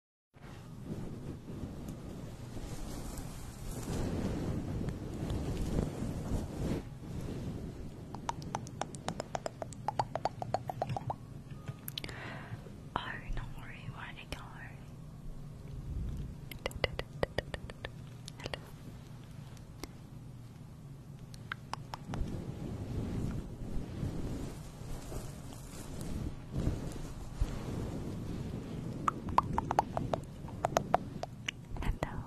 Oh, don't worry, where did Hello. I don't know.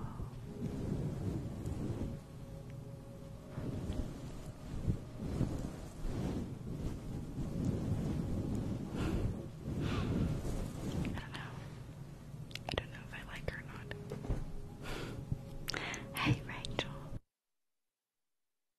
I don't know if I like her or not. hey, Rachel.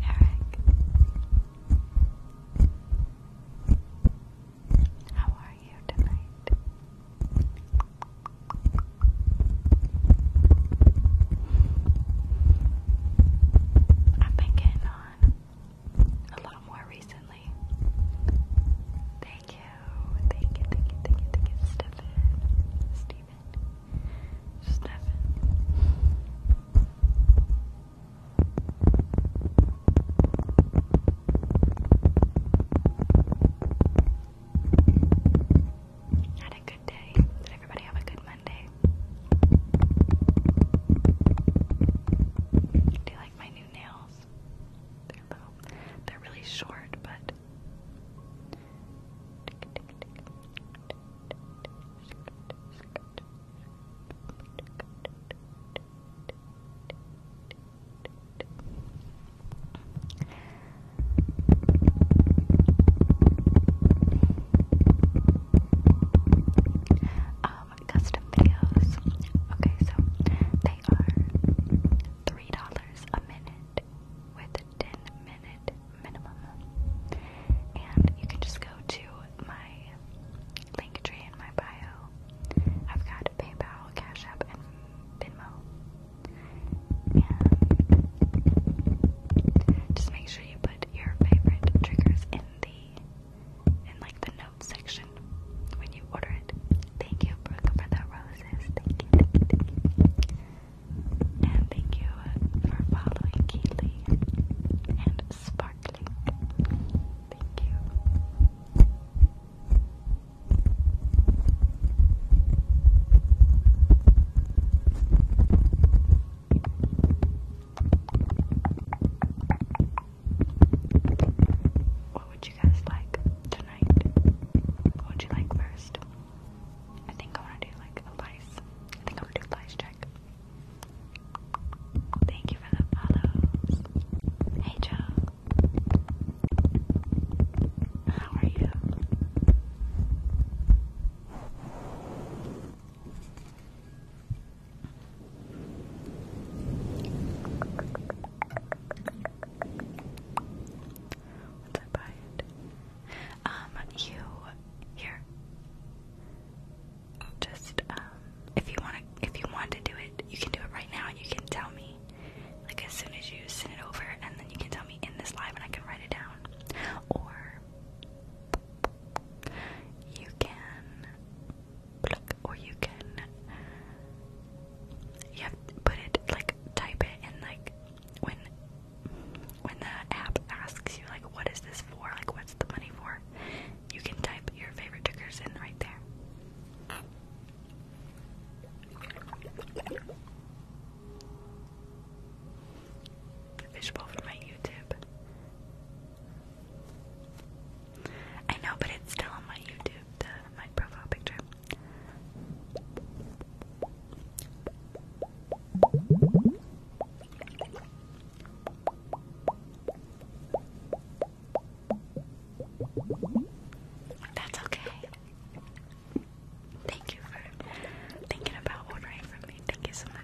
Hey, Eric. How are you tonight? I've been getting on a lot more recently. Thank you. Thank you, thank you, thank you, thank you, Stefan. Steven. Stefan. Had a good day. Did everybody have a good Monday? Do you like my new nails? They're little. They're really short, but um, custom videos. Okay, so they are $3 a minute it with a 10 minute minimum. And you can just go to my link tree in my bio. I've got PayPal, Cash App, and Venmo. just make sure you put your favorite triggers in the in like the note section when you order it. Thank you, Brooke, for the roses. And thank you for following Keely and Sparkling. Thank you. what would you guys like what would you like first? I think I want to do like a lice. I think I want to do lice check. Thank you for the follows. Hey, Joe. How are you? Once I buy it. Um, you here. Just um, if you want to, if you want to do it, you can do it right now, and you can tell me, like as soon as you send it over, and then you can tell me in this live, and I can write it down. Or you can, or you can you have to put it like type it in like when when the app asks you like what is this for like what's the money for you can type your favorite triggers in right there Fishbowl for my YouTube. I know, but it's still on my YouTube, the, my profile picture. That's okay. Thank you for thinking about ordering from me. Thank you so much.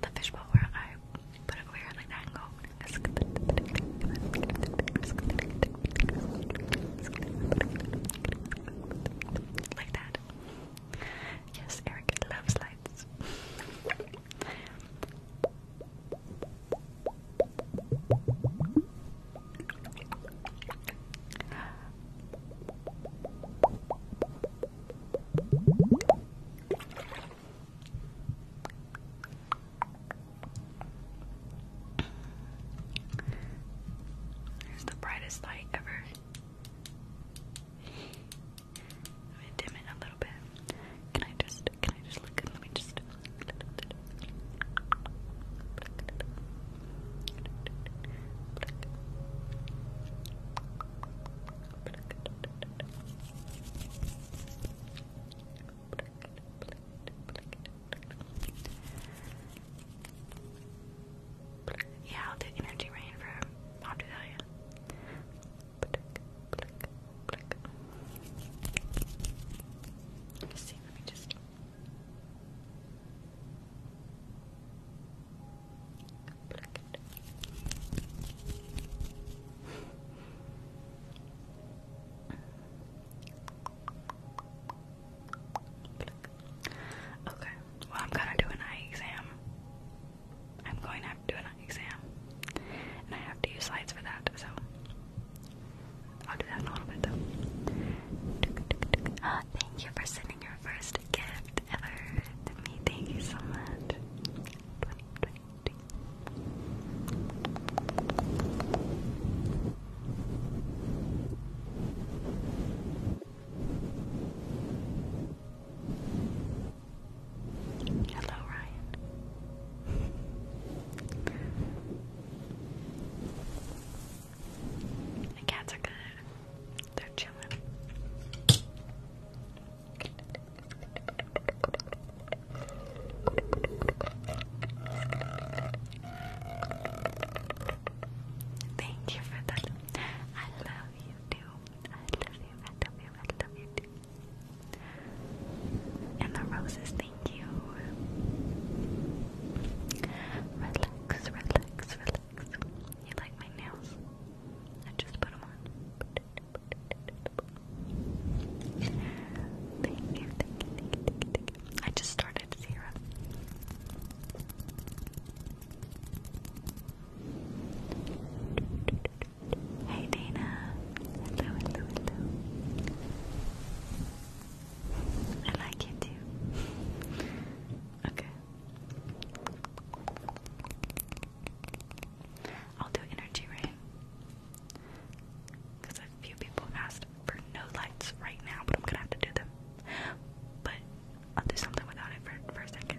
The fishbowl where I put it weird like that Like that. Yes, Eric loves lights. There's the brightest light ever. dim it a little bit. Can I just, can I just let me just yeah, i energy rain I'll do that, yeah. Okay, well, I'm gonna do an eye exam. I'm going to have to do an eye exam. I have to use slides for that, so I'll do that in a little bit though. Uh, thank you for sending your first gift ever to me. Thank you so much. Hello, Ryan. The cats are good. They're chilling. Thank you for the. I love you too. I love you. I love you. And the roses, thank you. Relax, relax, relax. You like my nails? I just put them on. I just started zero. Hey Dana. I like you too. okay. I'll do energy rain. Because a few people asked for no lights right now, but I'm gonna have to do them. But I'll do something without it for, for a second.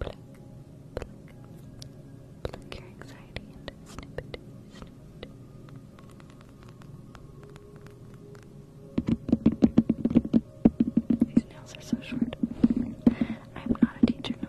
Pluck, pluck, pluck your anxiety and snip it, snip it. These nails are so short. I am not a teacher, no.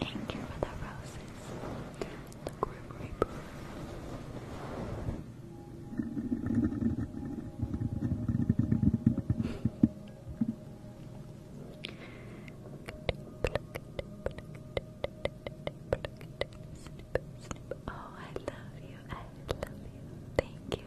Thank you for the roses. The Grim Reaper. Oh, I love you. I love you. Thank you.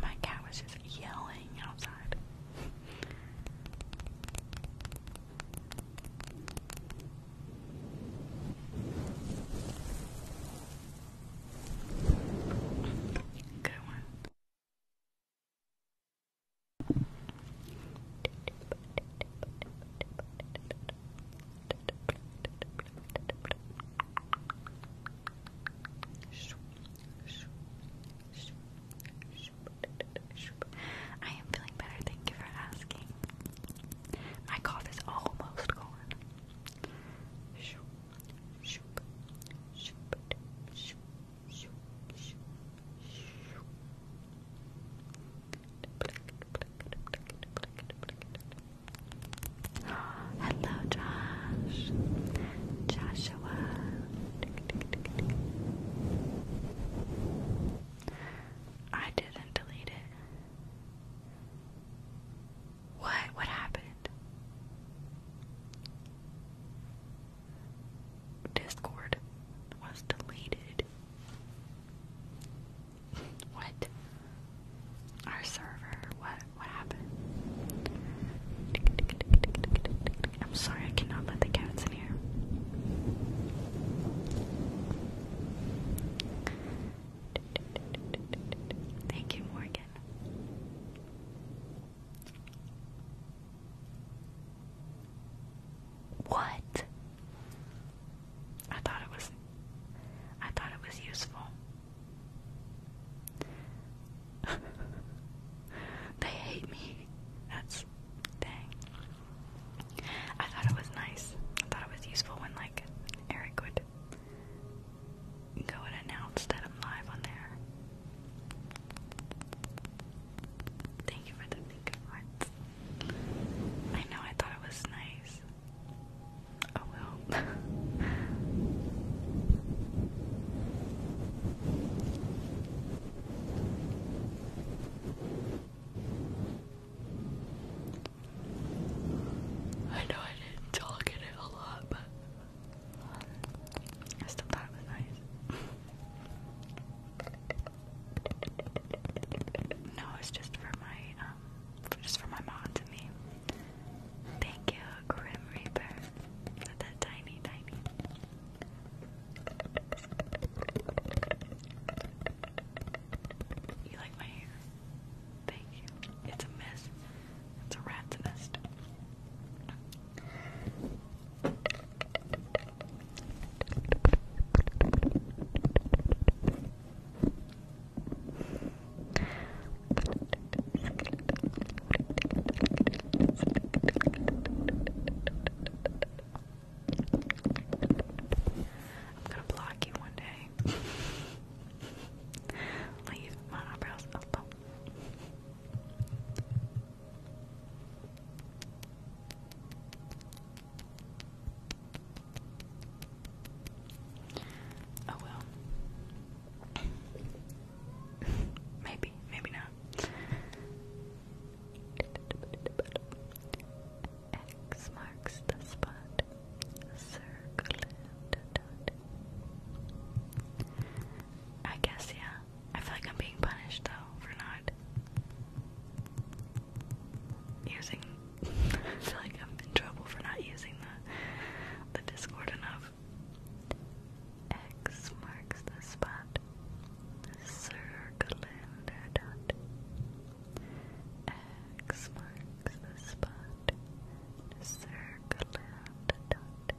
My cat was just yelling outside. Good one. I am feeling better, thank you for asking. My cough is almost gone. Hello, Josh. Joshua. I didn't delete it. What? What happened? Discord was deleted. What? Our server was what happened? I'm sorry, I cannot let the cats in here. Thank you, Morgan. What? I thought it was I thought it was useful they hate me. That's dang. I thought it was nice. I thought it was useful when like Eric would go and announce that I'm live on there. Thank you for the think hearts. I know I thought it was nice. Oh well. I know I didn't talk in it a lot, but um, still thought nice. no, it's just for my um, just for my mom to me. Thank you, Grim Reaper, for that tiny, tiny. You like my hair? Thank you. It's a mess. It's a rat's nest. I'm gonna block you one day. Leave my eyebrows alone. Oh well maybe, maybe not. X marks the spot. Circle I guess yeah. I feel like I'm being punished though for not using I feel like I'm in trouble for not using the the Discord enough. X marks the spot. Circulander dot. X marks the spot. Circulander dot.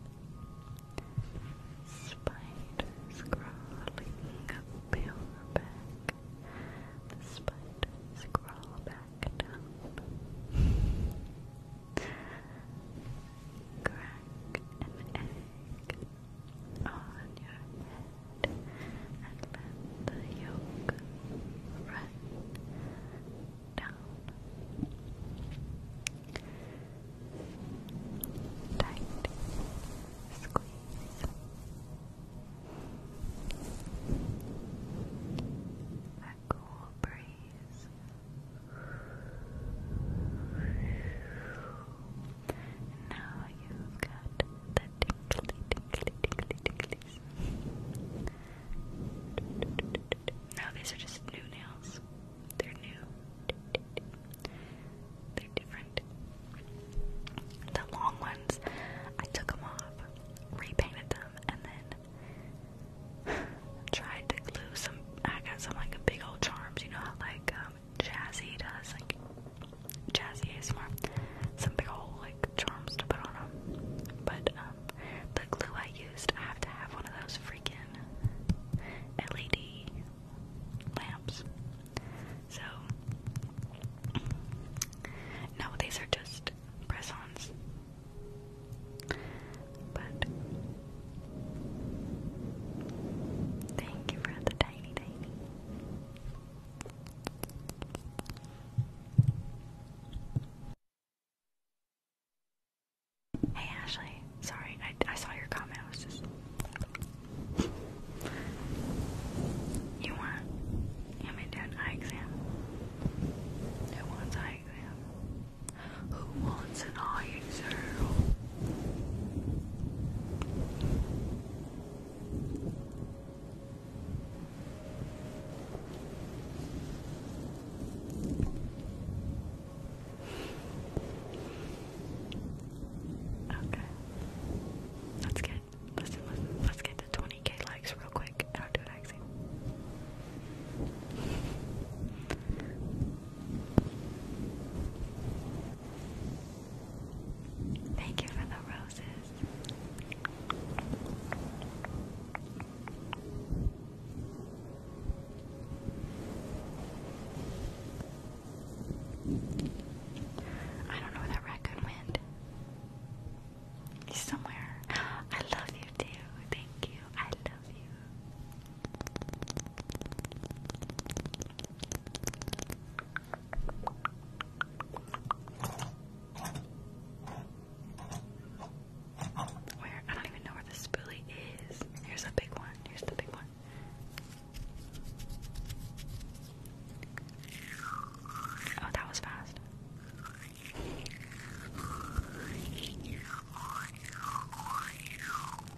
Spiders crawling up your back. The spiders back down. Crack an egg on your head and let the yolk run down. Tight squeeze. A cool breeze now you got the tinkly, tinkly, tinkly, tinklies. Now these are just new nails. They're new. They're different. The long ones, I took them off, repainted them, and then tried to glue some. I got some like big old charms, you know, how, like um, Jazzy does, like Jazzy ASMR. Some big old like charms to put on them. But um, the glue I used, I have to have one of those freaking LED lamps. So no, these are just press-ons. But thank you for the tiny, tiny. Hey Ashley, sorry, I, I saw your comment. was just. you want? You want me eye exam? Who wants eye exam? Who wants an iron zero? Okay. Let's get let's let's, get to 20k likes real quick I'll do an accent. Thank you for the roses. I don't know where that raccoon went. He's somewhere. I love you too. Thank you. I love you. Where? I don't even know where the spoolie is. Here's the big one. Here's the big one. Oh, that was fast.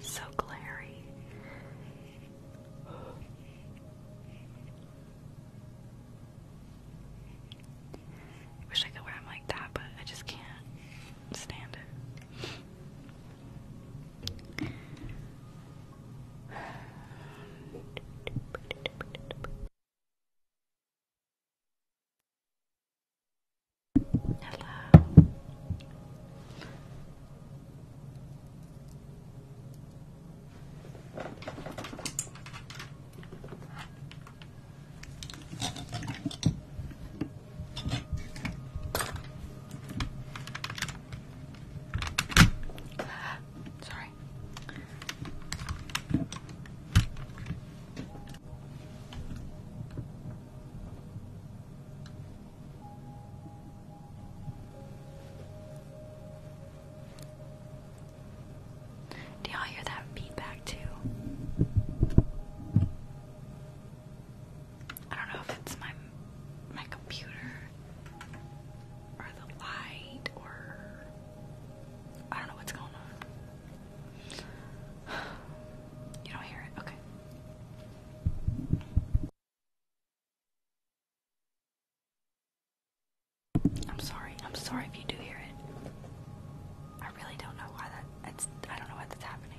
So glary. Wish I could wear them like that, but I just can't stand it. Hello. Sorry. Do y'all hear that feedback too? I don't know if it's my my computer or the light or I don't know what's going on. You don't hear it? Okay. I'm sorry. I'm sorry if you do hear it. I really don't know why that I don't know why that's happening.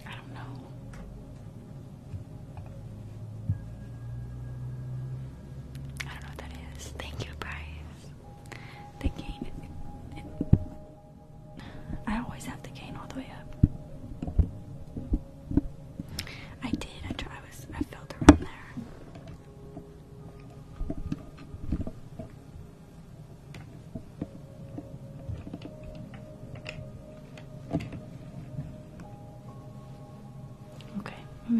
I don't know. I don't know what that is. Thank you, Bryce. The cane. I always have the cane all the way up. I did. I, I was. I felt around there. Okay,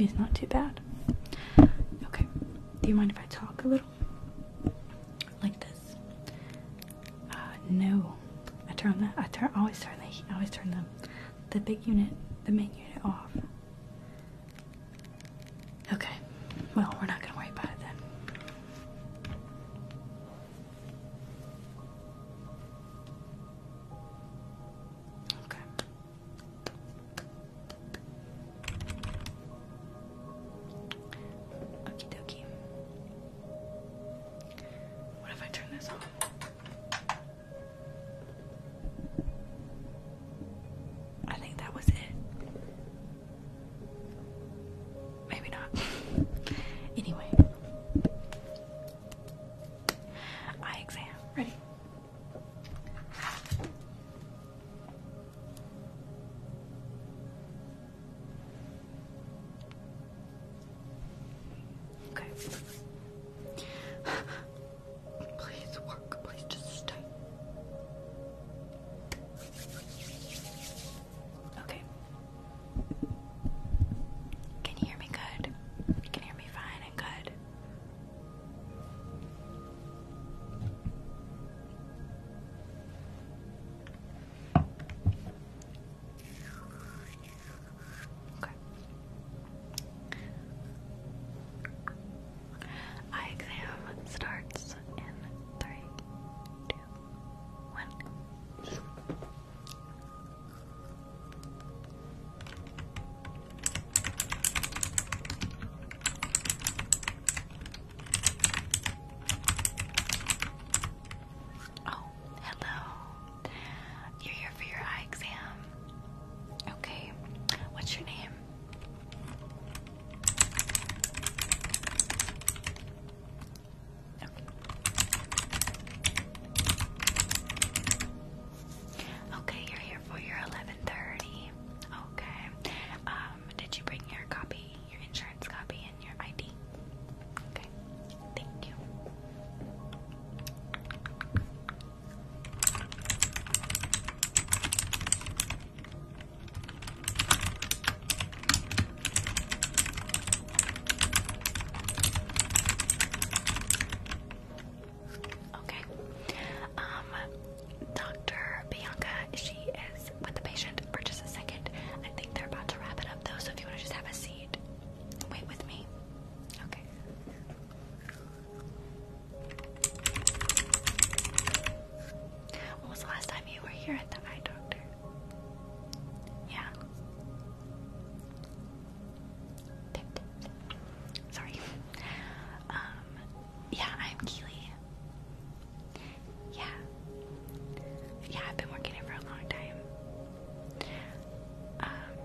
it's not too bad. Okay, do you mind if I talk a little? Like this? Uh, no. I turn the I turn always turn the I always turn the the big unit the main unit off. Okay. Well, we're not going to worry about it then. Okay. Okie dokie. What if I turn this on? I think that was it. Maybe not. anyway. Eye exam. Ready? Okay. Please work. Please just stay. Okay. Can you hear me good? can hear me fine and good. Okay. Eye exam starts in three, two, one. Oh, hello. You're here for your eye exam. Okay. What's your name? Okay. you're here for your 11:30. Okay. Um, did you bring your copy, your insurance copy, and your ID? Okay. Thank you. Okay. Um, Dr. Bianca, she is with the patient for just a second. I think they're about to wrap it up though, so if you want to just have a seat, wait with me. Okay. When was the last time you were here at the eye doctor? Yeah. Sorry. Um, yeah, I'm Keely. Yeah. Yeah, I've been working here for a long time. Um,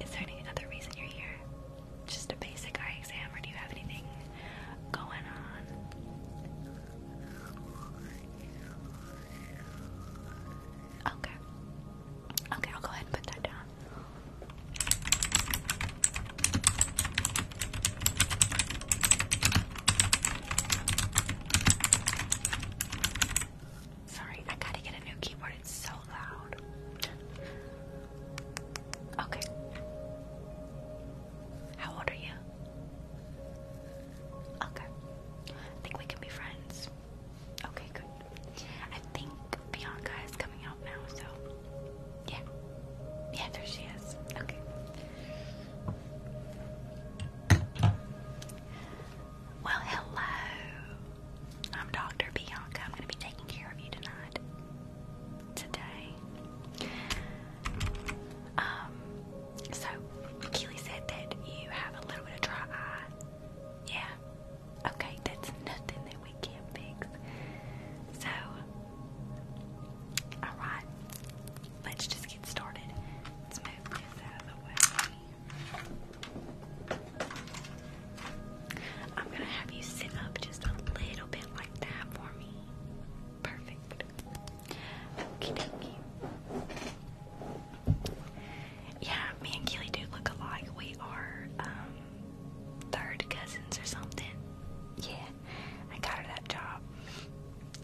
is there any other reason you're here? Just a basic eye exam, or do you have anything going on? Okay. Okay, I'll go ahead and put that down. Sorry, I gotta get a new keyboard. It's so Okay. How old are you? Okay. I think we can be friends. Okay, good. I think Bianca is coming out now, so yeah. Yeah, there she is. Okay. Well, hello. I'm Dr. Bianca. I'm going to be taking care of you tonight. Today. Um, so, Keely said that you have a little bit of dry Yeah. Okay, that's nothing that we can't fix. So, alright. Let's just get started. Let's move this out of the way. I'm gonna have you sit up just a little bit like that for me. Perfect. Okie dokie. Yeah, me and Keely do look alike. We are um, third cousins or something. Yeah, I got her that job.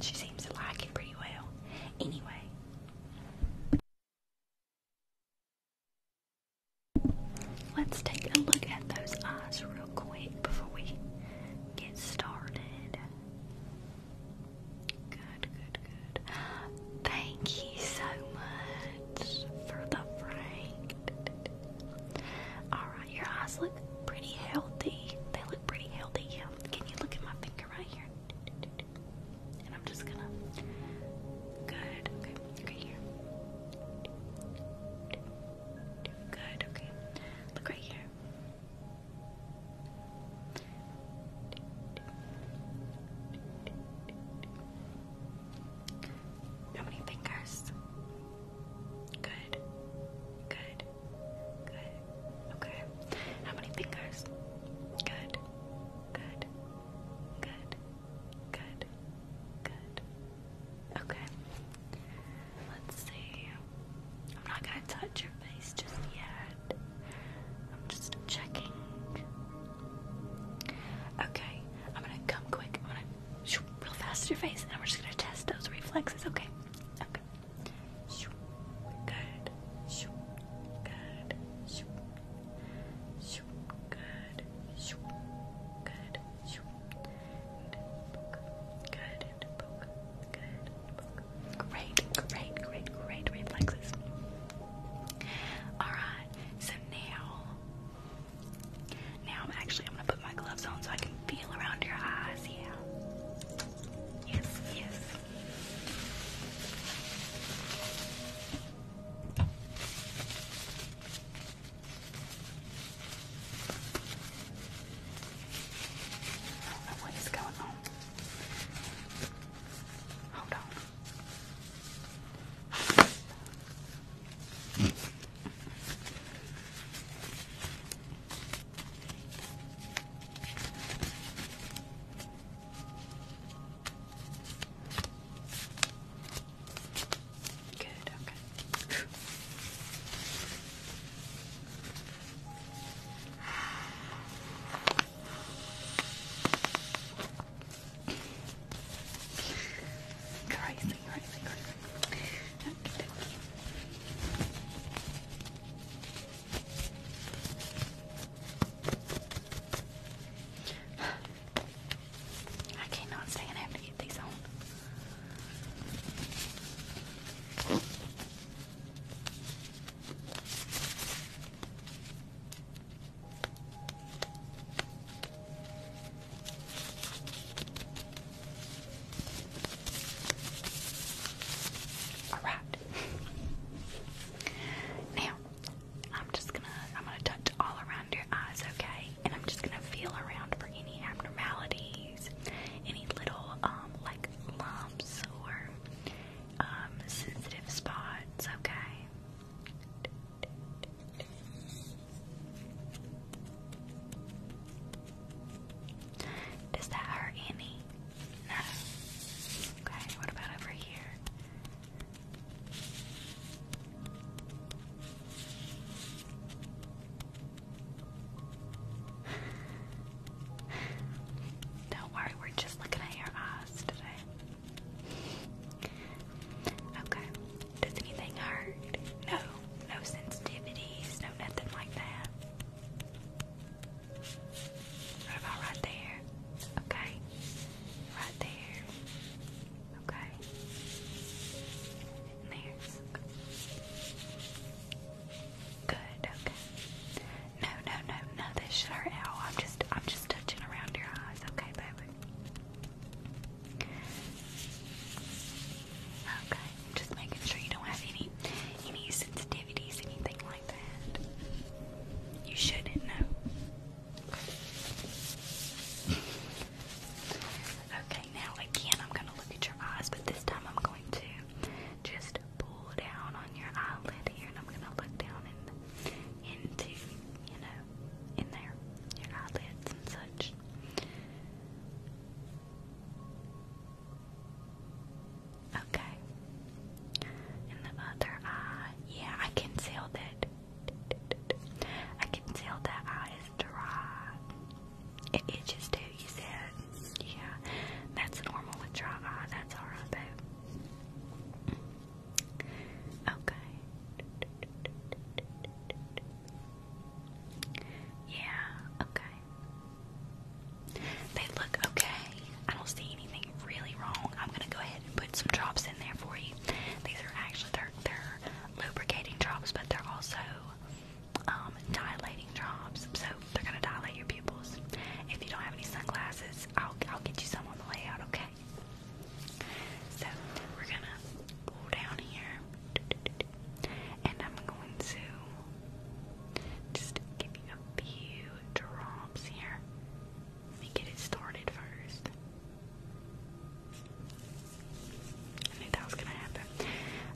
She seems to like it pretty well. Anyway. Let's take a look at those eyes real quick before we get started. Good, good, good. Thank you so much for the frank. Alright, your eyes look pretty healthy. They look pretty healthy, Can you look at my finger right here? And I'm just gonna. Good, okay, okay, here. Good, okay. Look right here. How many fingers? Good, good, good. Okay. How many fingers? Good, good, good, good, Good. Okay. Let's see. I'm not gonna touch your face just yet. I'm just checking. Okay. I'm gonna come quick. I'm gonna shoot real fast at your face, and we're just gonna test those reflexes. Okay. Okay. Shoot. Good. Good. Shoo. Good. Shoo. Good. Shoo. Good. Good. Good. Great. Great. Great. Great reflexes. All right. So now, now I'm actually I'm gonna put my gloves on so I can feel around your eyes. Yeah. Yes. Yes. I do what is going on. Hold on. Good, okay. crazy, crazy, crazy. Okay, I cannot stand have to get these on. All right. now, I'm just gonna I'm gonna touch all around your eyes, okay? And I'm just gonna feel around for any abnormalities, any little um like lumps or um sensitive spots, okay? Does that hurt any? No. Okay, what about over here? Don't worry, we're just looking at your eyes today. Okay. Does anything hurt? No, no sensitivities, no nothing like that. about right there? Okay. Right there. Okay. There. Good. Okay. No, no, no, no. This should hurt. I'm just, I'm just touching around your eyes. Okay, baby. Okay. Just making sure you don't have any, any sensitivities, anything like that. You shouldn't know. Okay, now again, I'm going to look at your eyes, but this time I'm going to just pull down on your eyelid here, and I'm going to look down into, you know, in there, your eyelids and such. Okay. And the other eye, yeah, I can tell that I can tell that eye is dry. It itches too, you said. Yeah, that's normal with dry eye. That's alright, babe. Okay. Yeah, okay. They look okay. I don't see anything really wrong. I'm gonna go ahead and put some drops in there for you. These are actually, they they're lubricating drops, but they're also um, dilating drops. So they're gonna dilate your pupils. If you don't have any sunglasses, I'll I'll get you some on the way out. Okay. So we're gonna go down here, and I'm going to just give you a few drops here. Let me get it started first. I knew that was gonna happen.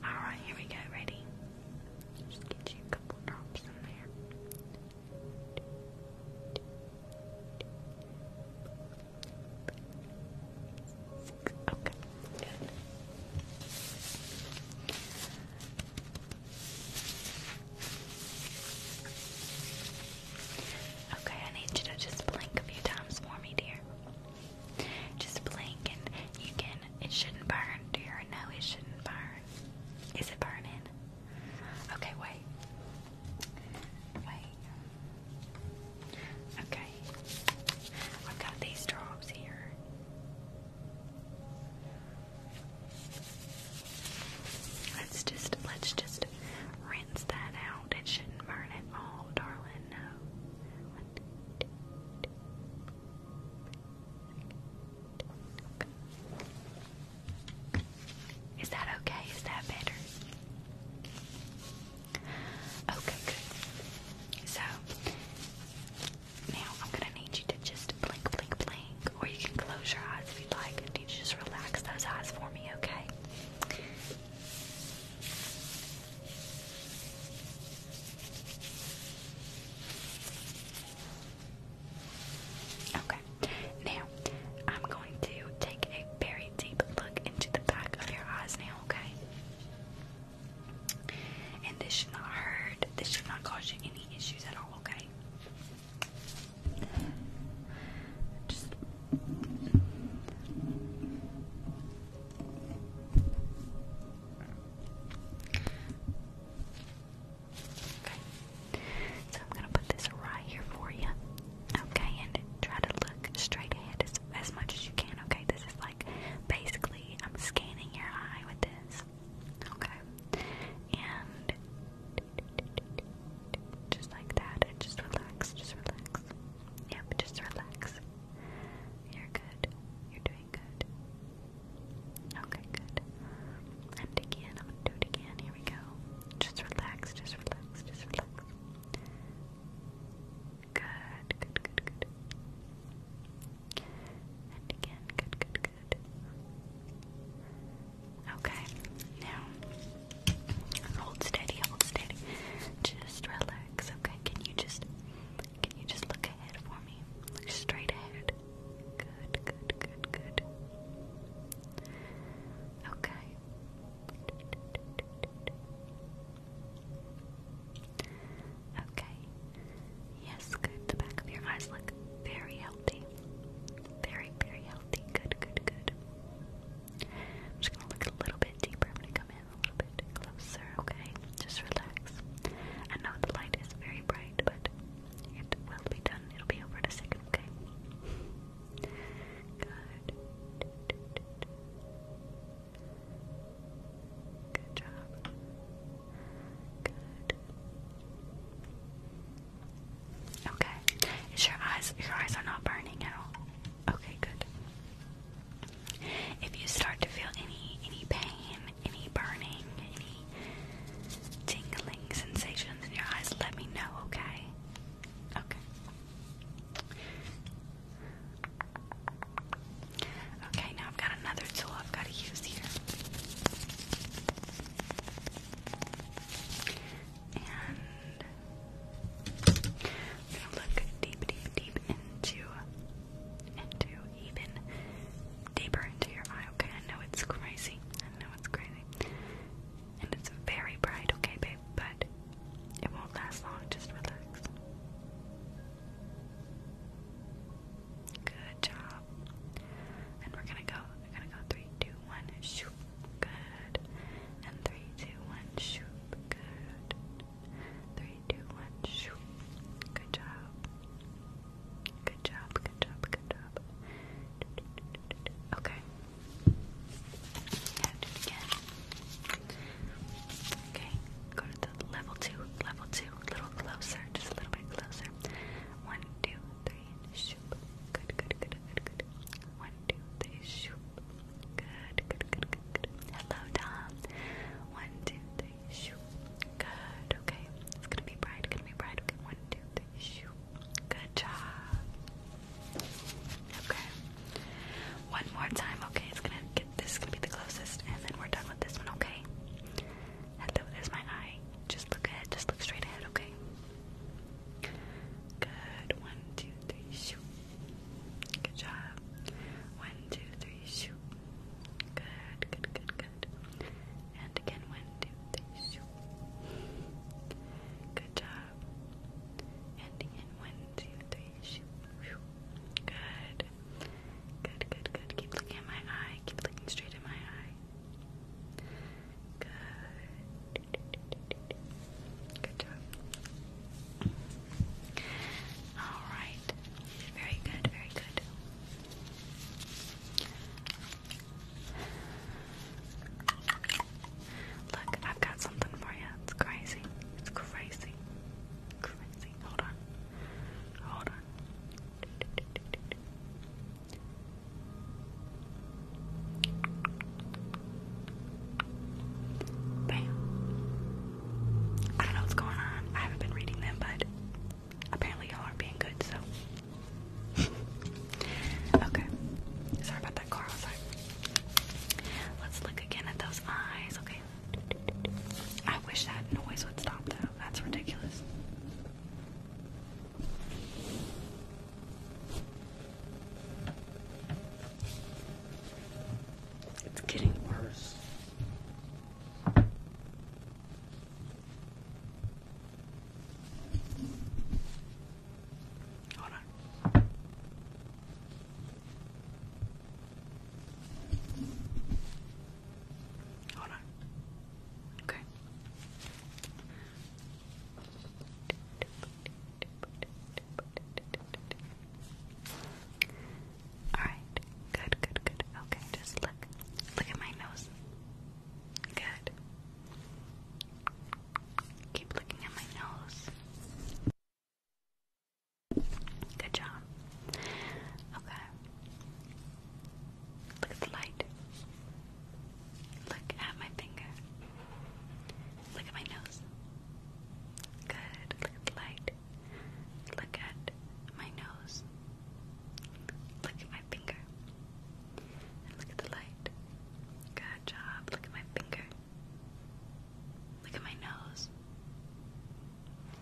Alright, here we go, ready? Just get you a couple drops in there. Okay, good. Okay, I need you to just blink a few times for me, dear. Just blink and you can, it shouldn't burn. Do you it shouldn't burn? Is it burning? Okay, wait. Wait. Okay. I've got these drops here. Let's just let's just rinse that out. It shouldn't burn at all, darling. No. Is that okay? Is that better? Okay, good. So now I'm gonna need you to just blink, blink, blink, or you can close your eyes if you'd like, and you just relax those eyes for me, okay? Okay, now I'm going to take a very deep look into the back of your eyes now, okay? And this should not hurt, this should not cause you any issues at all, okay? So I'm gonna put this right here for you. Okay, and try to look straight ahead as, as much as you can. Okay, this is like basically I'm scanning your eye with this. Okay, and just like that, and just relax, just relax. Yep, just relax. You're good. You're doing good. Okay, good. And again, I'm gonna do it again. Here we go. Just relax, just relax, just relax. Good, good, good, good. And again, good, good, good. Okay, now Hold steady, hold steady. Just relax, okay? Can you just can you just look ahead for me? Look straight ahead. Good, good, good, good. Okay. Okay. Yes, good. The back of your eyes look very healthy. Very, very healthy. Good, good, good. I'm just gonna look a little bit deeper come a little bit closer, okay? Just relax. I know the light is very bright, but it will be done. It'll be over in a second, okay? Good. Good job. Good. Okay. Is your eyes your eyes are not burning at all? Okay, good. If you start to feel any any pain, any burning, any tingling sensations in your eyes, let me know, okay? Okay. Okay, now I've got another tool I've got to use here. And look deep, deep, deep into into even deeper into your eye, okay? I know it's crazy. I know it's crazy. And it's very bright, okay, babe, but it won't last long, just relax. Good job. And we're gonna go. We're gonna go three, two, one, shoot. Good. And three, two, one, shoot. Good. Three, two, one, shoot. Good job. Good job, good job, good job. Okay. Okay, go to the level two, level two, a little closer, just a little bit closer. One, two, three, shoop. Good, good, good, good, good. One, two, three, shoop. Good, good, good, good, good. Hello, Tom. One, two, three, shoo. Good, okay. It's gonna be bright, gonna be bright. one, two, three, shoo. Good job. Okay. One more time, okay. It's gonna get this gonna be the closest, and then we're done with this one, okay? Hello, there's my eye. Just look ahead, just look straight ahead, okay? Good. One, two, three, shoot. Good job. One, two, three, shoot. Good, good, good, good. And again, one, two, three, shoot. Good job. And again, one, two, three, shoot. Good. Good, good, good. Keep looking at my eye. Keep looking straight at my eye. Good. Good job. All right. Very good. Very good. Look, I've got something for you. It's crazy. It's crazy. Crazy. Hold on. Hold on. Bam. I don't know what's going on. I haven't been reading them, but apparently y'all aren't being good, so. okay. Sorry about that, Carl. Sorry. Let's look again at those eyes, okay? I wish that noise would stop, though. That's ridiculous. It's getting worse. Hold on. Hold on. Okay. All right. Good, good, good. Okay, just look. Look at my nose. Good. Keep looking at my nose. Good job. Okay. Look at the light. Look at my finger. Look at my nose. Good. Look at the light. Look at my nose. Look at my finger. look at the light. Good job. Look at my finger. Look at my nose.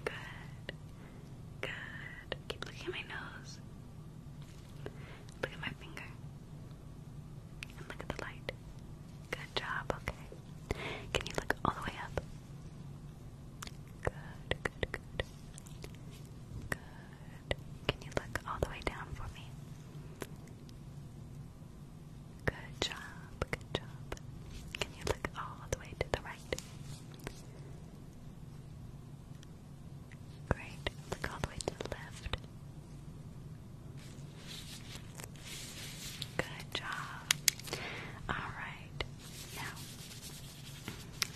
Good. Good. Keep looking at my nose. Look at my finger. And look at the light. Good job, okay. Can you look all the way up? Good, good, good. Good. Can you look all the way down for me? Good job, good job. Can you look all the way to the right? Great. Look all the way to the left. Good job. All right. Now,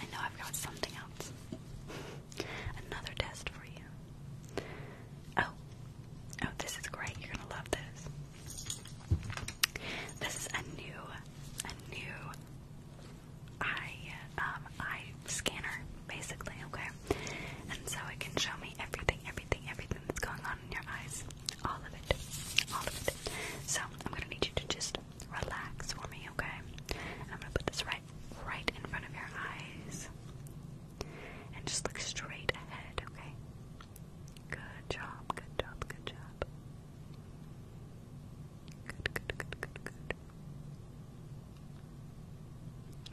I know I've got something else. Another test for you. Oh. Oh, this is great. You're going to love this. This is a new a new eye um eye scanner basically, okay? And so it can show me everything, everything, everything that's going on in your eyes. All of it. All of it. So I'm gonna need you to just relax for me, okay? I'm gonna put this right right in front of your eyes. And just look straight ahead, okay? Good job, good job, good job. Good, good, good, good, good.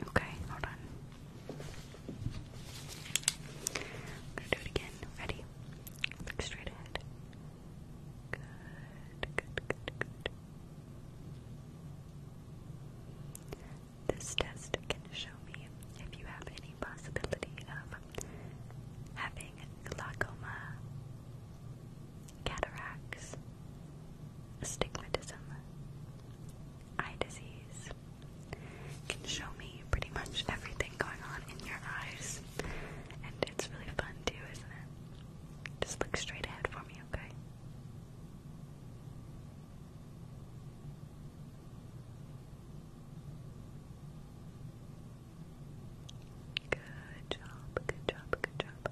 Okay, hold on. I'm gonna do it again. Ready? Look straight ahead. Good, good, good, good. This test can show me if you have any possibility of having glaucoma, cataracts, astigmatism, eye disease, can show me pretty much everything going on in your eyes. And it's really fun too, isn't it? Just look straight ahead for me, okay? Good job, good job, good job.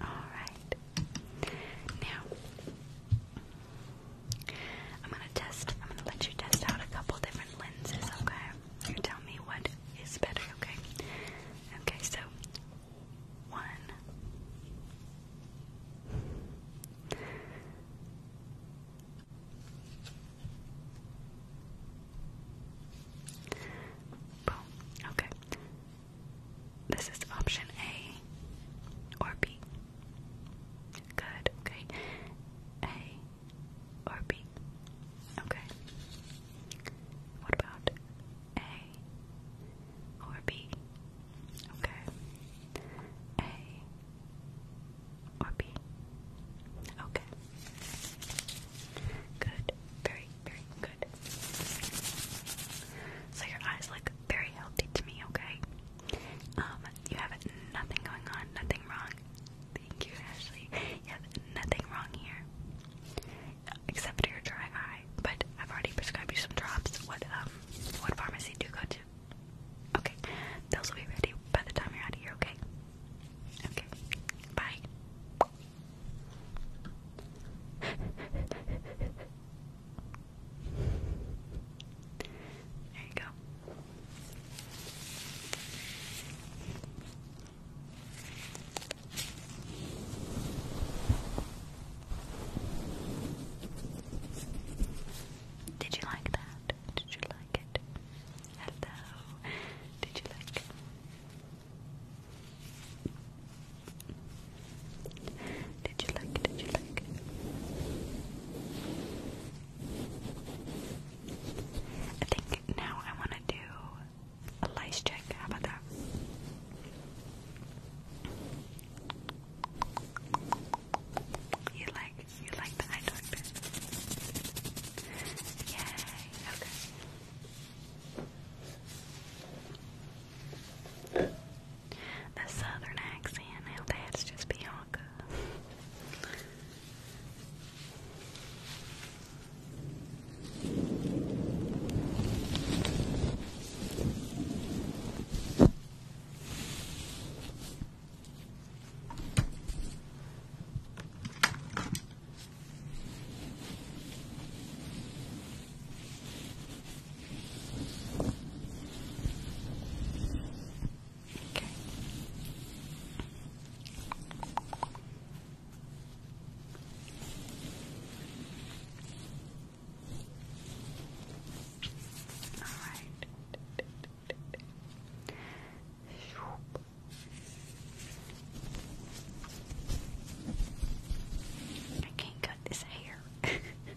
Alright. Now, I'm going to test, I'm going to let you test out a couple different lenses, okay? You tell me what is better, okay? Okay, so, one, boom, okay. This is option A or B. Good, okay. A or B. Okay. What about A or B? Okay. A or B. Okay. Good. Very, very good. So your eyes look very healthy to me, okay? Um, you have nothing going on, nothing wrong. Thank you, Ashley. You nothing wrong here. Except for your dry eye. But I've already prescribed you some drops. What um what pharmacy do you go to? Okay. Those will be ready by the time you're out of here, okay? Okay. Bye. There you go. Did you like that? Did you like it? Hello. Did you like it? Did you like? it? Did you like? I think now I want to do a lice check. How about that? You like? You like the eye doctor? Yay! Okay. The southern accent. Now that's just Bianca. Okay. All right. I can't cut this hair.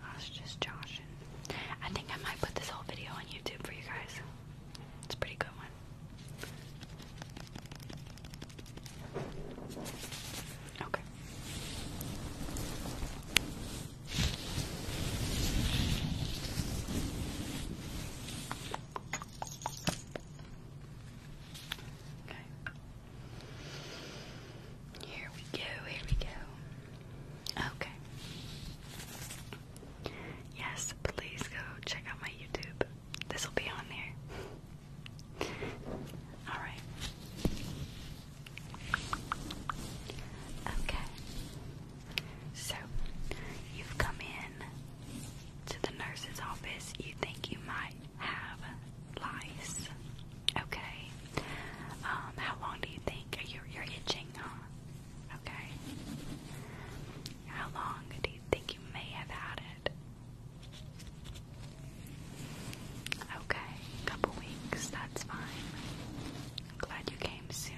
I was just joshing. I think I might put this whole video on YouTube for you guys. It's a pretty good one. Okay. Here we go, here we go. Okay. Yes, please go check out my YouTube. This will be on there. Alright. Okay. So, you've come in to the nurse's office. You think you might have lice. Okay. Um, how long do you think you're, itching? Huh? Okay. How long do you think you may have had it? Okay, a couple weeks, that's fine. glad you came soon.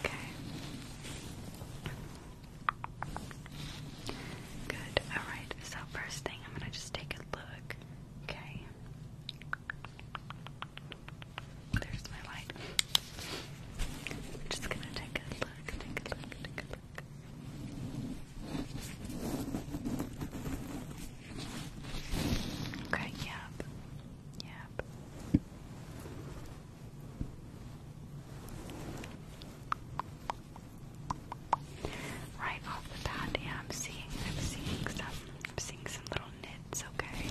Okay. Good. Alright, so first thing, I'm gonna just take a look. Okay. There's my light. just gonna take a look, take a look, take a look. Okay, yep. Yep. Right off the bat, yeah, I'm seeing, I'm seeing some, I'm seeing some little knits. Okay.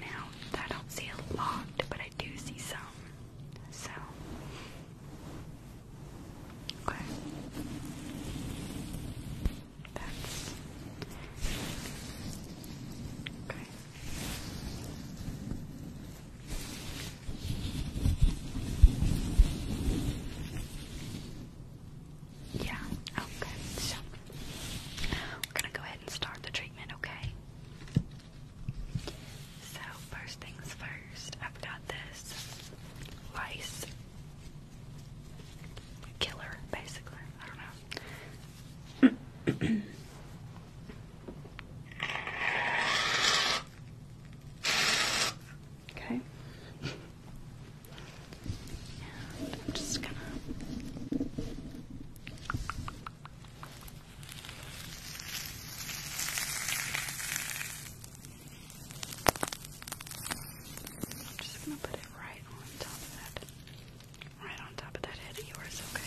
Now I don't see a lot, but I do see some. So. Okay. That's okay. Yeah, okay. So we're gonna go ahead and start the treatment, okay? So first things first, I've got this lice killer, basically. I don't know okay. I'm just gonna I'm just gonna put it right on top of that. Right on top of that head of yours, Okay.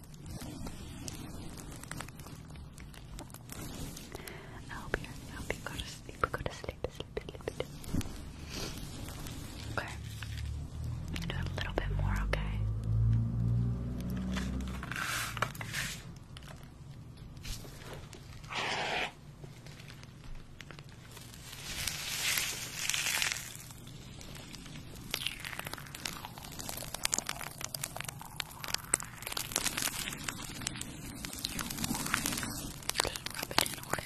I hope you're happy. Go to sleep. Go to Sleep. Sleep. sleep. Okay. Do a little bit more. Okay. Just rub it in away.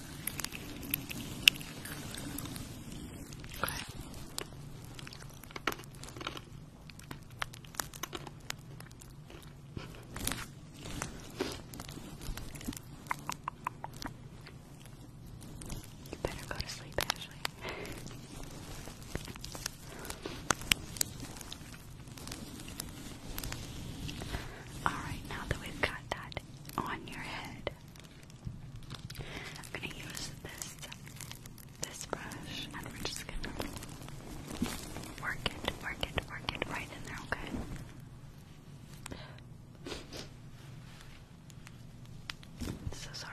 Okay. You better go to sleep, Ashley. Alright, now that we've got that on your head, I'm gonna use this this brush and we're just gonna work it, work it, work it right in there, okay? So sorry.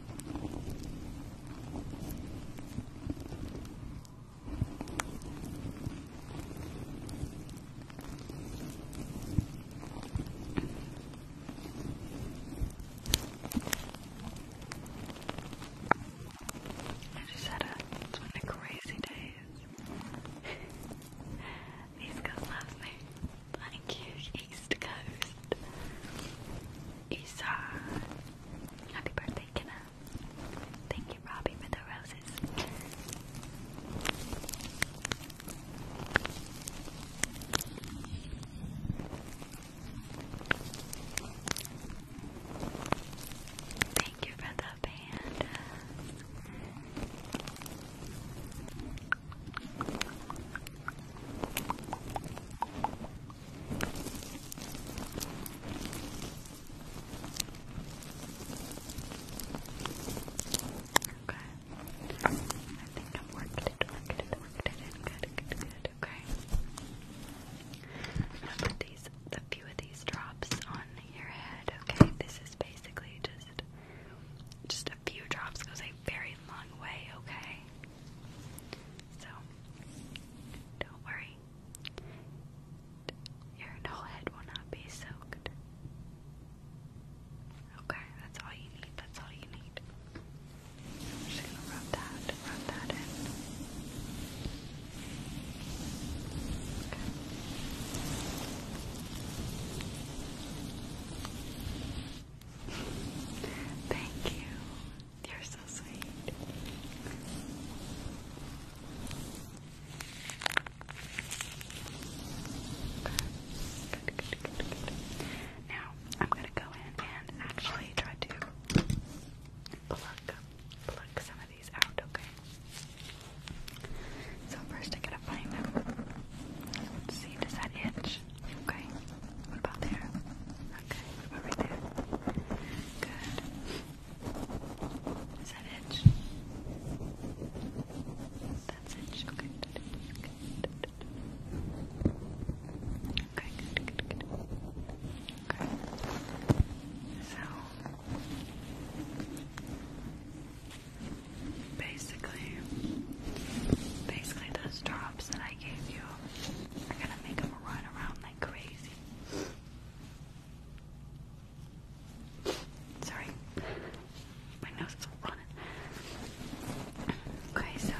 I just had a, one of the crazy days. These guys love me. Thank you, East Coast. Isa. Happy birthday, Kenna. Thank you, Robbie, for the roses. Thank you for the band. Okay. I think I've worked it, worked it, worked it Good, good, good. Okay. am gonna put these, a few of these drops on your head. Okay. This is basically just, just a few drops goes a very long way. Okay. So don't worry. Your whole head will not be soaked. Okay, that's all you need. That's all you need. I'm just gonna rub that, rub that in. Okay. Thank you they are so sweet. Now, I'm going to go in and actually try to pluck, pluck some of these out, okay? So first I gotta find them. see, does that itch? Okay. What about there? Okay, what about right there? Good. Is that itch? That's itch. Okay. Okay, good, good, good. Okay. So basically basically those drops that I gave you are gonna make them run around like crazy. Sorry, my nose is running. Okay, so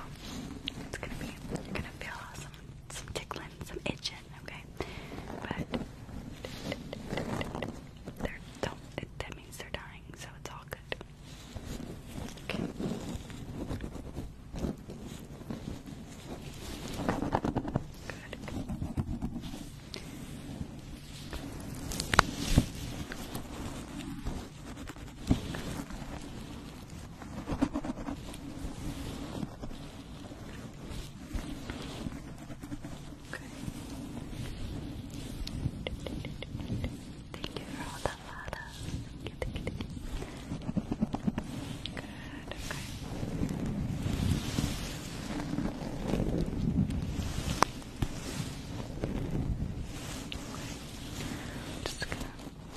it's gonna be you're gonna feel some some tickling, some itching, okay? But they're that means they're dying, so it's all good. Thank you for all the love. Thank you, Good, okay. Just going Good.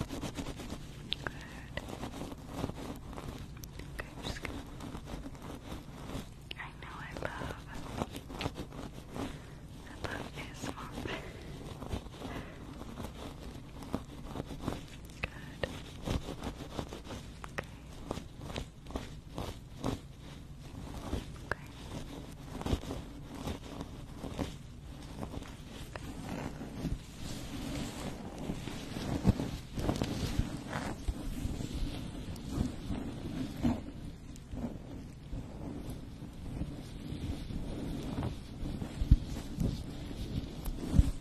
Okay, just going I know I love I love ASMR Good. Okay. Okay.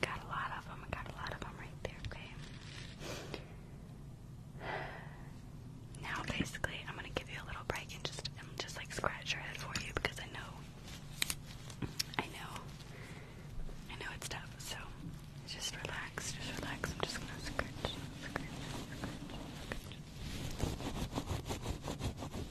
Got a lot of them. I got a lot of them right there, okay? Now, basically, I'm gonna give you a little break and just just like scratch your head for you because I know, I know, I know it's tough. So just relax, just relax. I'm just gonna scratch.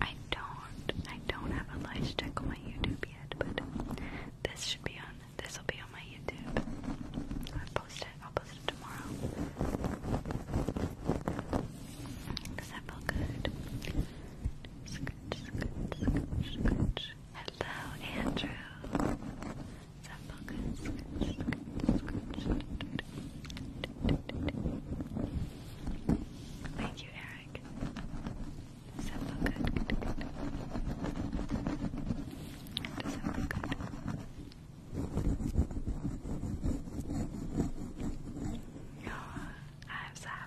I don't I don't have a live stick on my YouTube yet, but this should be on this will be on my YouTube. I'll post it. I'll post it tomorrow. Cause that felt good. Hello, Andrew. Scratch, scratch, scratch. Thank you, Eric. Simple good, good, good. Simple good. Oh, I'm sad.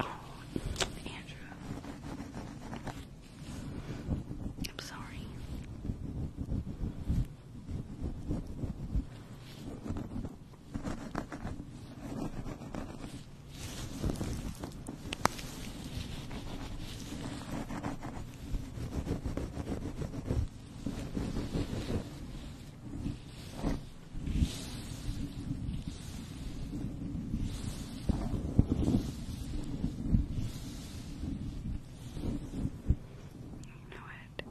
Oh, Andrew. I'm sorry. You know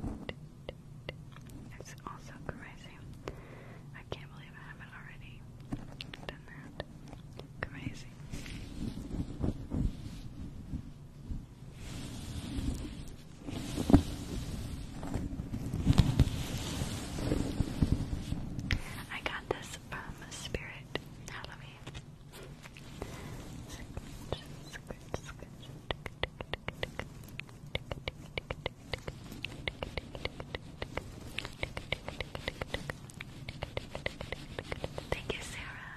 It's also crazy. I can't believe I haven't already done that. Crazy. I got this from Spirit Halloween. Thank you, Sarah.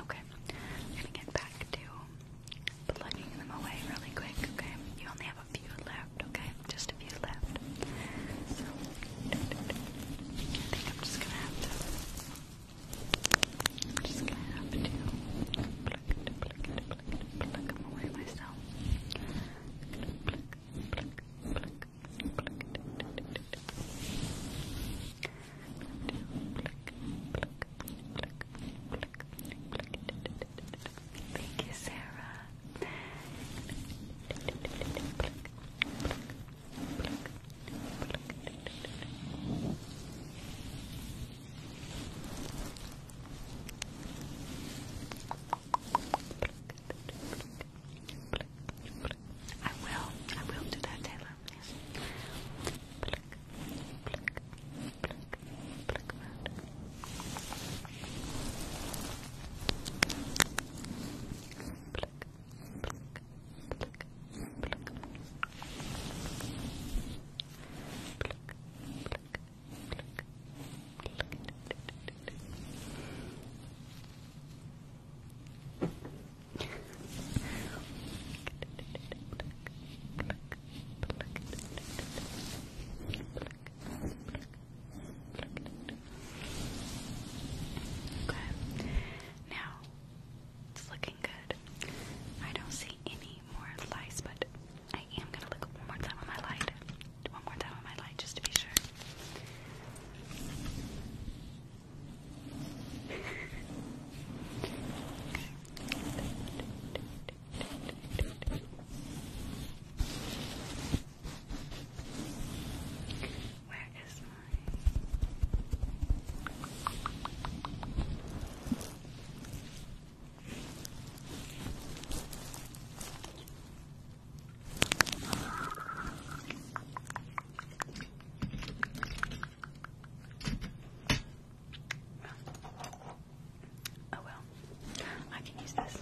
Okay, I'm gonna get back to plugging them away really quick, okay? You only have a few left, okay? Just a few left. So, I think I'm just gonna have to, just gonna have to pluck, pluck, pluck, pluck them away myself. Thank you, Sarah. I will. I will do that, Taylor. Pluck, pluck, pluck, pluck round. Pluck, pluck, pluck, pluck. Pluck, pluck, pluck, pluck. Pluck, pluck, pluck, pluck. Okay. Now it's looking good. I don't see any more lice, but I am gonna look one more time on my light. One more time on my light just to be sure. Where is mine? Oh well, I can use this.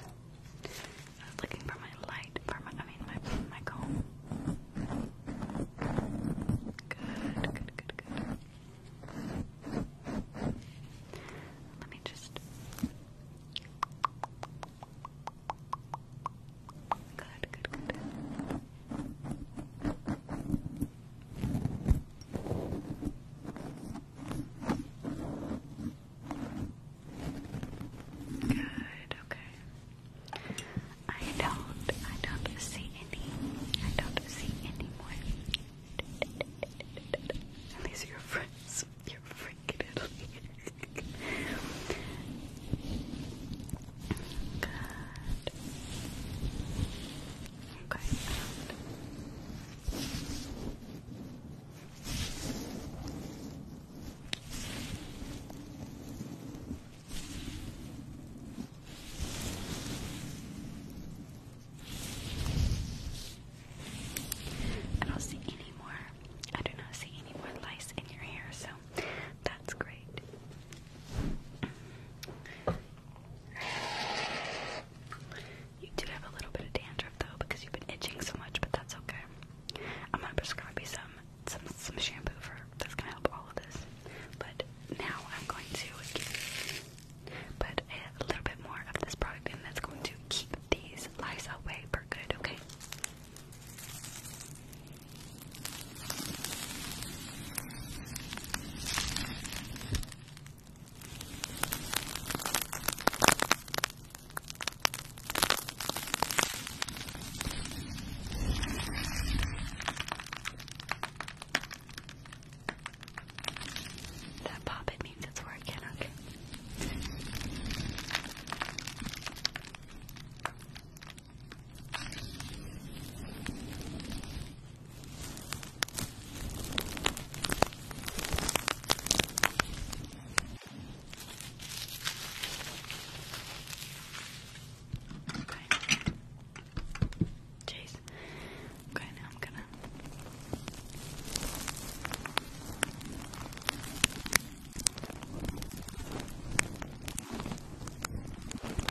looking for my light, for my, I mean my, my comb. Good, good, good, good. Let me just... Good, good, good. Good, okay. I don't I don't see any I don't see any more. At your friends you're freaking Italy. Good. Okay. I don't see any more. I do not see any more lice in your hair, so that's great. You do have a little bit of dandruff though because you've been itching so much, but that's okay. I'm gonna prescribe you some some shampoo for that's to help all of this. But now I'm going to give you put a little bit more of this product in that's going to keep these lice away for good, okay? That pop it means it's working, okay. Jeez. Okay, now I'm gonna.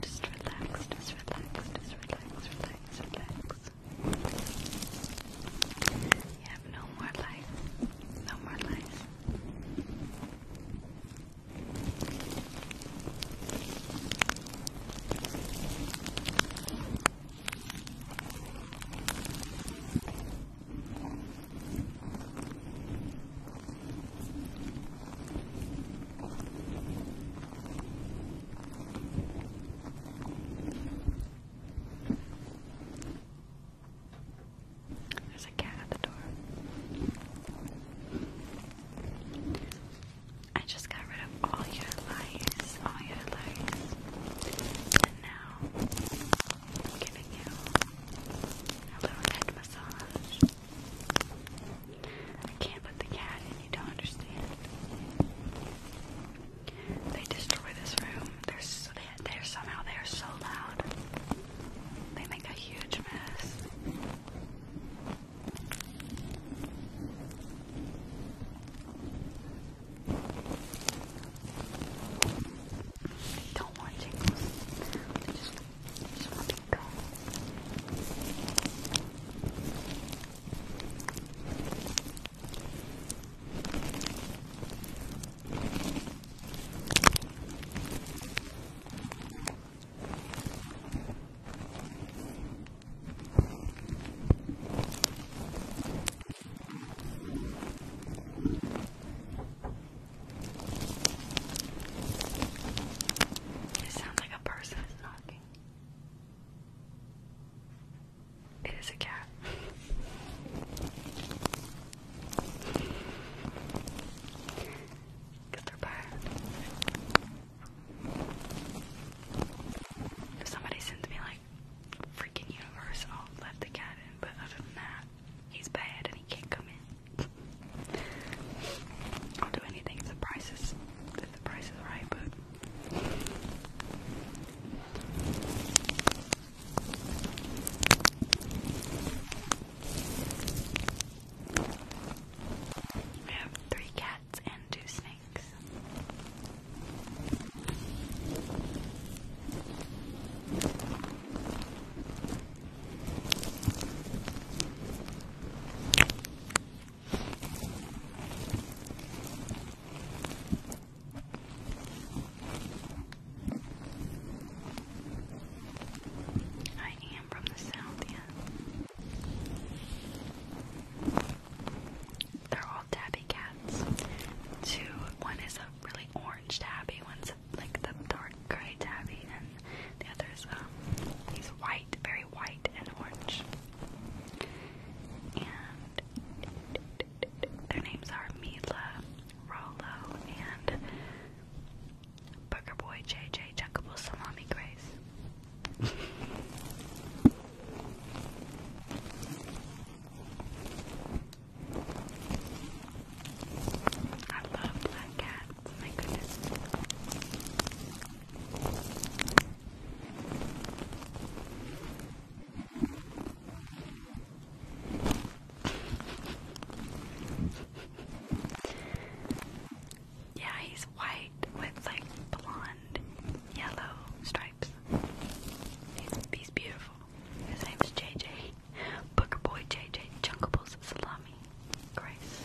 Just relax, just relax, just relax, relax, relax. You have no more life, no more life. There's a cat at the door. I just got rid of all your lies, all your lies. And now I'm giving you a little head massage. I can't put the cat in, you don't understand. They destroy this room. They're, they, are somehow they are so loud. They make a huge mess. They don't want jingles. It sounds like a person is knocking. It is a cat. Get their bar. If somebody sends me like freaking universe, let the cat in, but other than that, he's bad and he can't come in. I'll do anything the price if the price is right, but have three cats and two snakes. I am from the south, yeah. They're all tabby cats. Two, one is a really orange tabby, one's a, like the dark gray tabby, the other's um, he's white, very white and orange. And their names are Mila, Rolo, and Burger Boy JJ Chuckable Salami Grace. I love black cats, my goodness. Yeah, he's white with like blonde, yellow stripes. He's, he's beautiful. His name's JJ. Booker Boy JJ Junkables Salami Grace.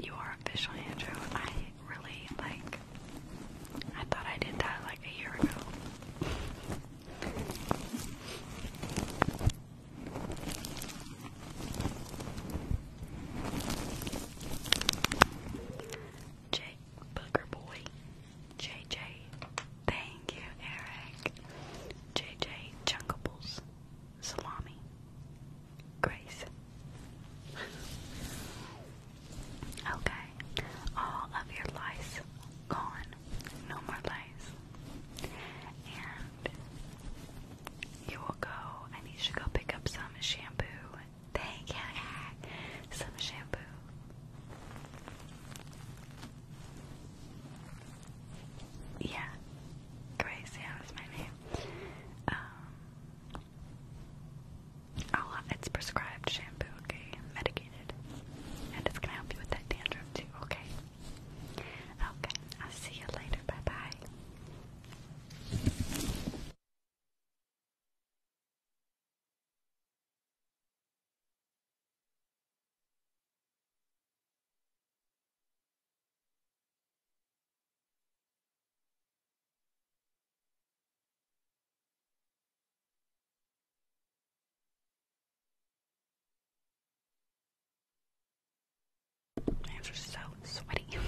You are official, Andrew. I really like. I thought I did that like a year ago. Jake Booker Boy. JJ. Thank you, Eric. JJ Chunkables. Salami. Grace. okay. All of your lice gone. No more lice. And you will go. I you to go pick up some shampoo Thank you. Some shampoo. Yeah, Grace. Yeah, that's my name. Um, oh, it's prescribed shampoo. Okay, medicated, and it's gonna help you with that dandruff too. Okay. Okay. I'll see you later. Bye bye. My hands are so sweaty.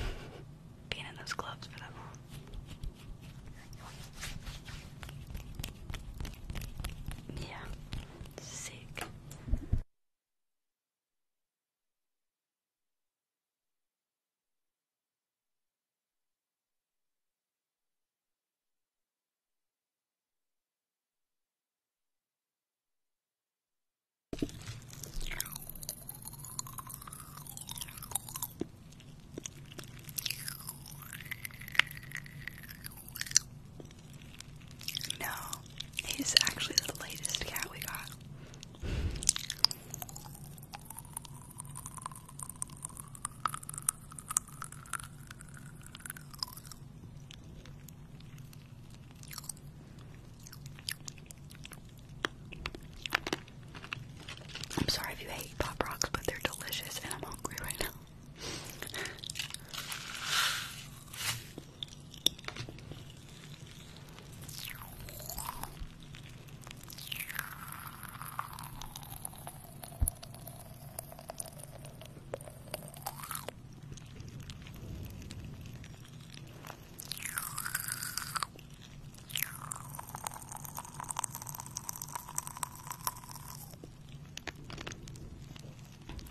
Being in those gloves for that long. Yeah, sick. No, he's actually the latest cat we got. I'm sorry if you hate pop rocks, but they're delicious and I'm hungry right now.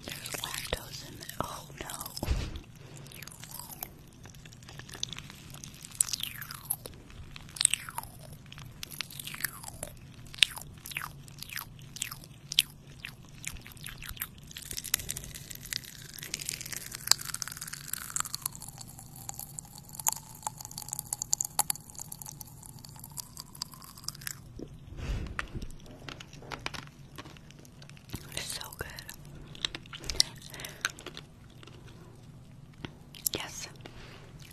There's lactose in it. Oh no. So good. Yes.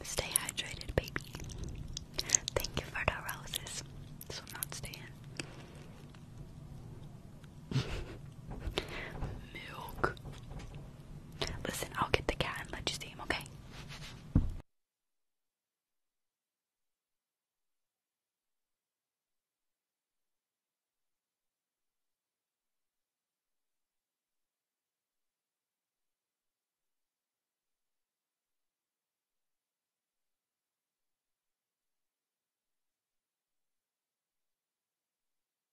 Stay hydrated, baby. Thank you for the roses. This not stay Milk. Listen, I'll get the cat and let you see him, okay?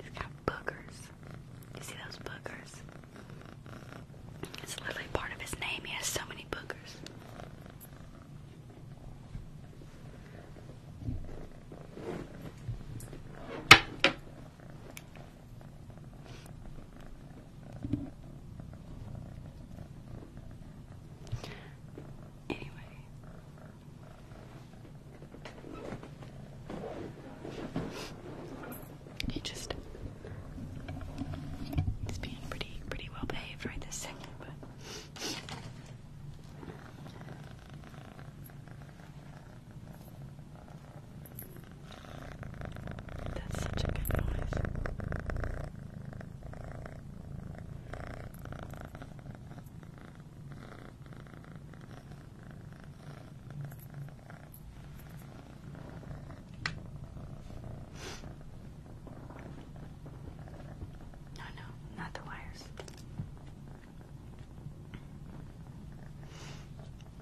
It's got boogers. You see those boogers? It's literally part of his name. He has so many boogers. Anyway, he just he's being pretty pretty well behaved right this second, that's such a good noise. No, no, not the wires.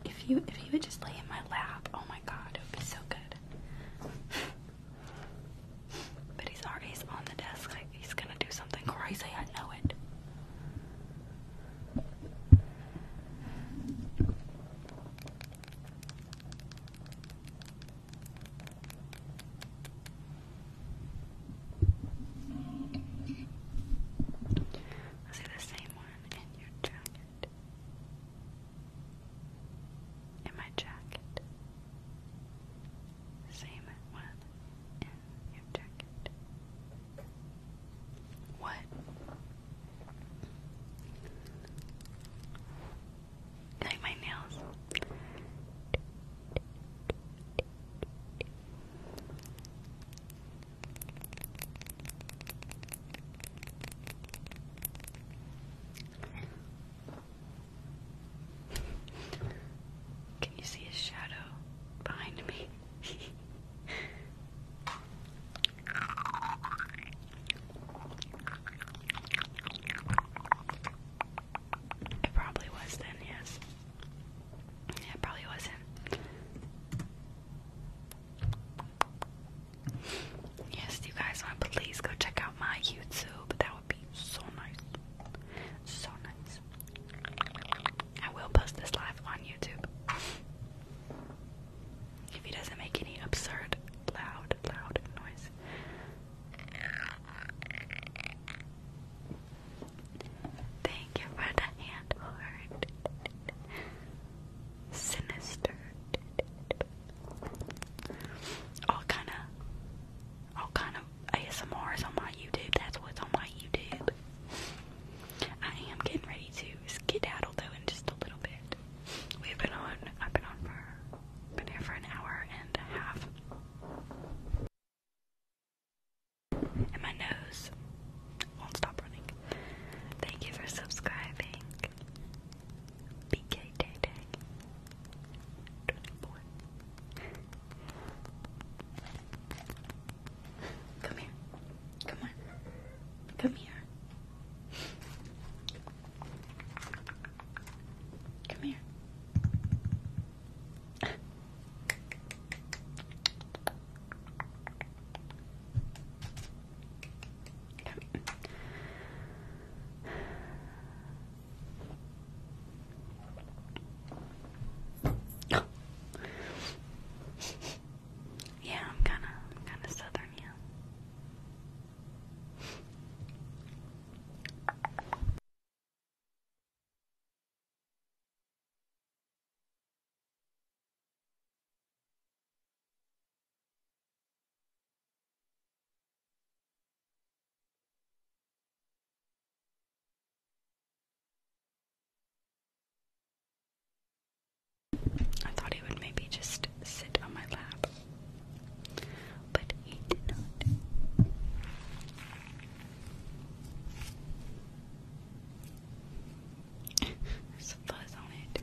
If you if you would just lay in my lap, oh my god, it would be so good. But he's already on the desk. he's gonna do something crazy. I know it. I see the same one in your jacket. In my jacket same one in your jacket. What? Like my nails. Can you see a shadow behind me? it probably was then, yes. Yeah, it probably was not Yes, you guys want to please go check out my YouTube would be so nice. So nice. I will post this live on YouTube. If he doesn't make any absurd, loud, loud noise. Thank you for the hand Sinister. All kind of, all kind of ASMR is on my YouTube. That's what's on my YouTube. I am getting ready to skedaddle though in just a little bit. We've been on. I've been on for. Been here for an hour and a half. And my nose won't stop running. Thank you for subscribing. BK Day Day. 24. Come here. Come on. Come here. Come here yeah, I'm kind of, I'm kind of southern, yeah. I thought he would maybe just sit on my lap, but he did not. There's a fuzz on it.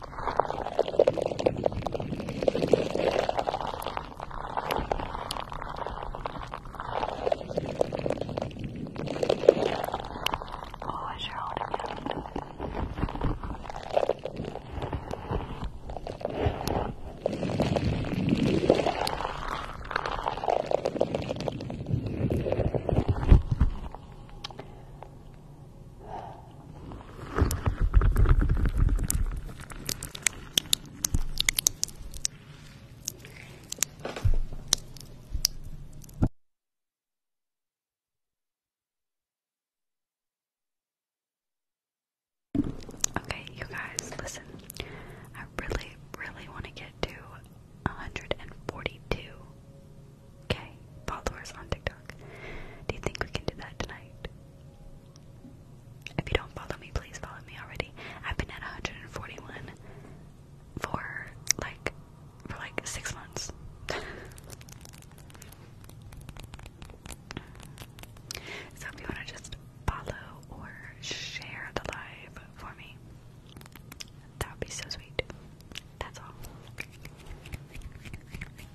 Oh, is your holding out? Okay, you guys, listen. I really, really want to get to 142 K followers on TikTok. Do you think we can do that tonight? If you don't follow me, please follow me already. I've been at 141 for like for like six months. so if you wanna just follow or share the live for me, that would be so sweet. That's all.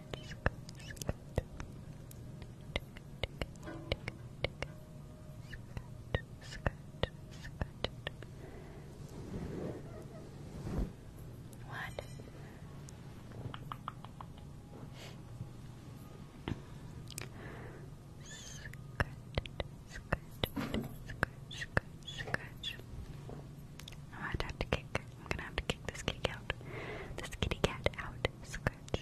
what? Scratch, I'm gonna have to kick. I'm gonna have to kick this kitty cat out. Scourge.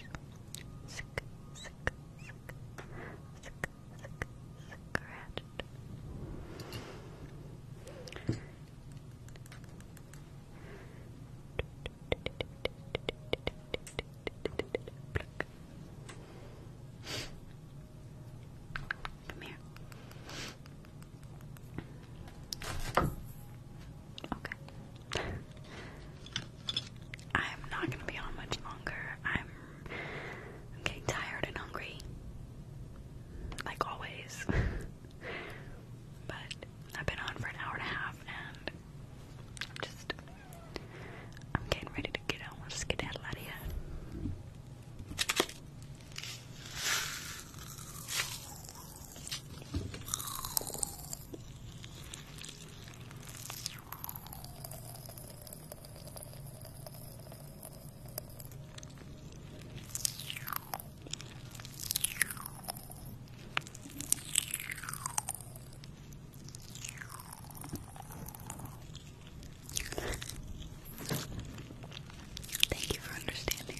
Sick, Come here. Okay. I'm not gonna be on much longer. I'm, getting tired and hungry, like always. but I've been on for an hour and a half, and I'm just, I'm getting ready to get out. Let's get out of here. Thank you for understanding.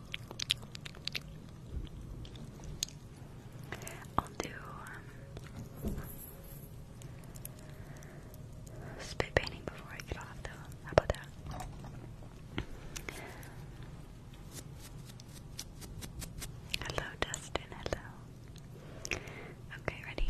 I'll do um, spit painting before I get off, though. How about that? Hello, Dustin. Hello. Okay, ready?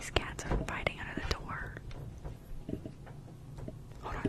These cats are fighting under the door. Hold on.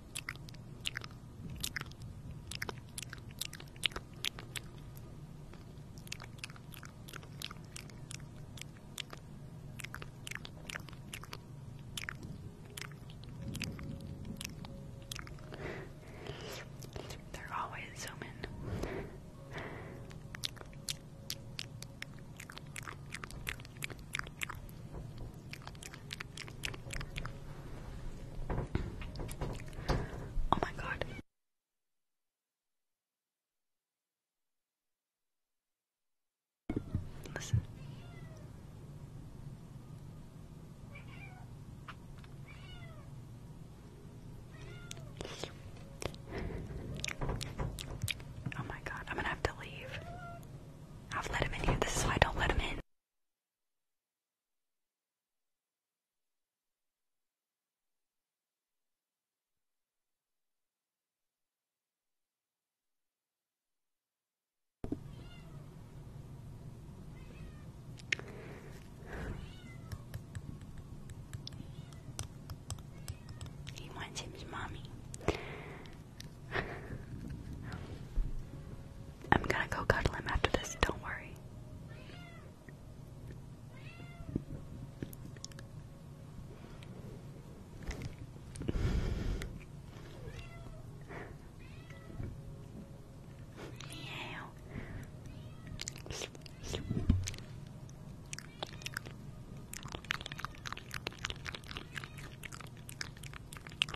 They're always zooming. Oh my god. Listen. Oh my god, I'm gonna have to leave. I've let him in here. This is why don't let him in. He wants him mommy. I'm gonna go cuddle him after this, don't worry. Meow.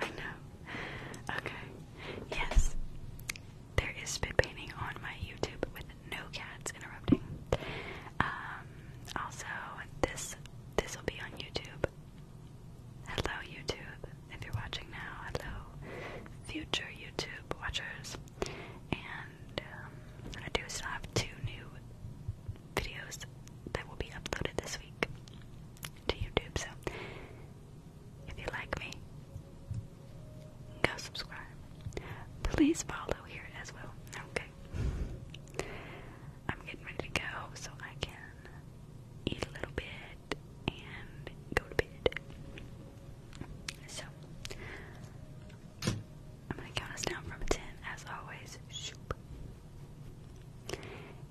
I know. Okay. Yes. There is spit painting on my YouTube with no cats interrupting. Um, also this this will be on YouTube. Hello YouTube. If you're watching now, hello, future YouTube watchers. And um, I do still have two new videos that will be uploaded this week to YouTube. So if you like me, go subscribe. Please follow here as well. Okay. I'm getting ready to go so I can eat a little bit and go to bed. So, I'm gonna count us down from 10 as always.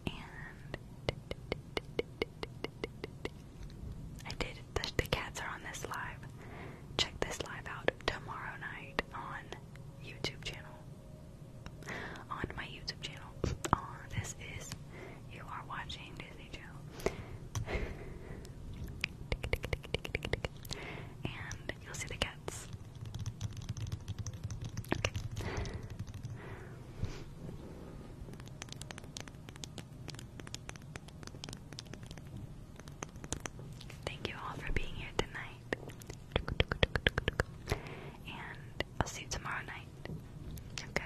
And I did, the, the cats are on this live. Check this live out tomorrow night on YouTube channel. On my YouTube channel. this is, you are watching and you'll see the cats. Okay. Thank you all for being here tonight. And I'll see you tomorrow night. Okay.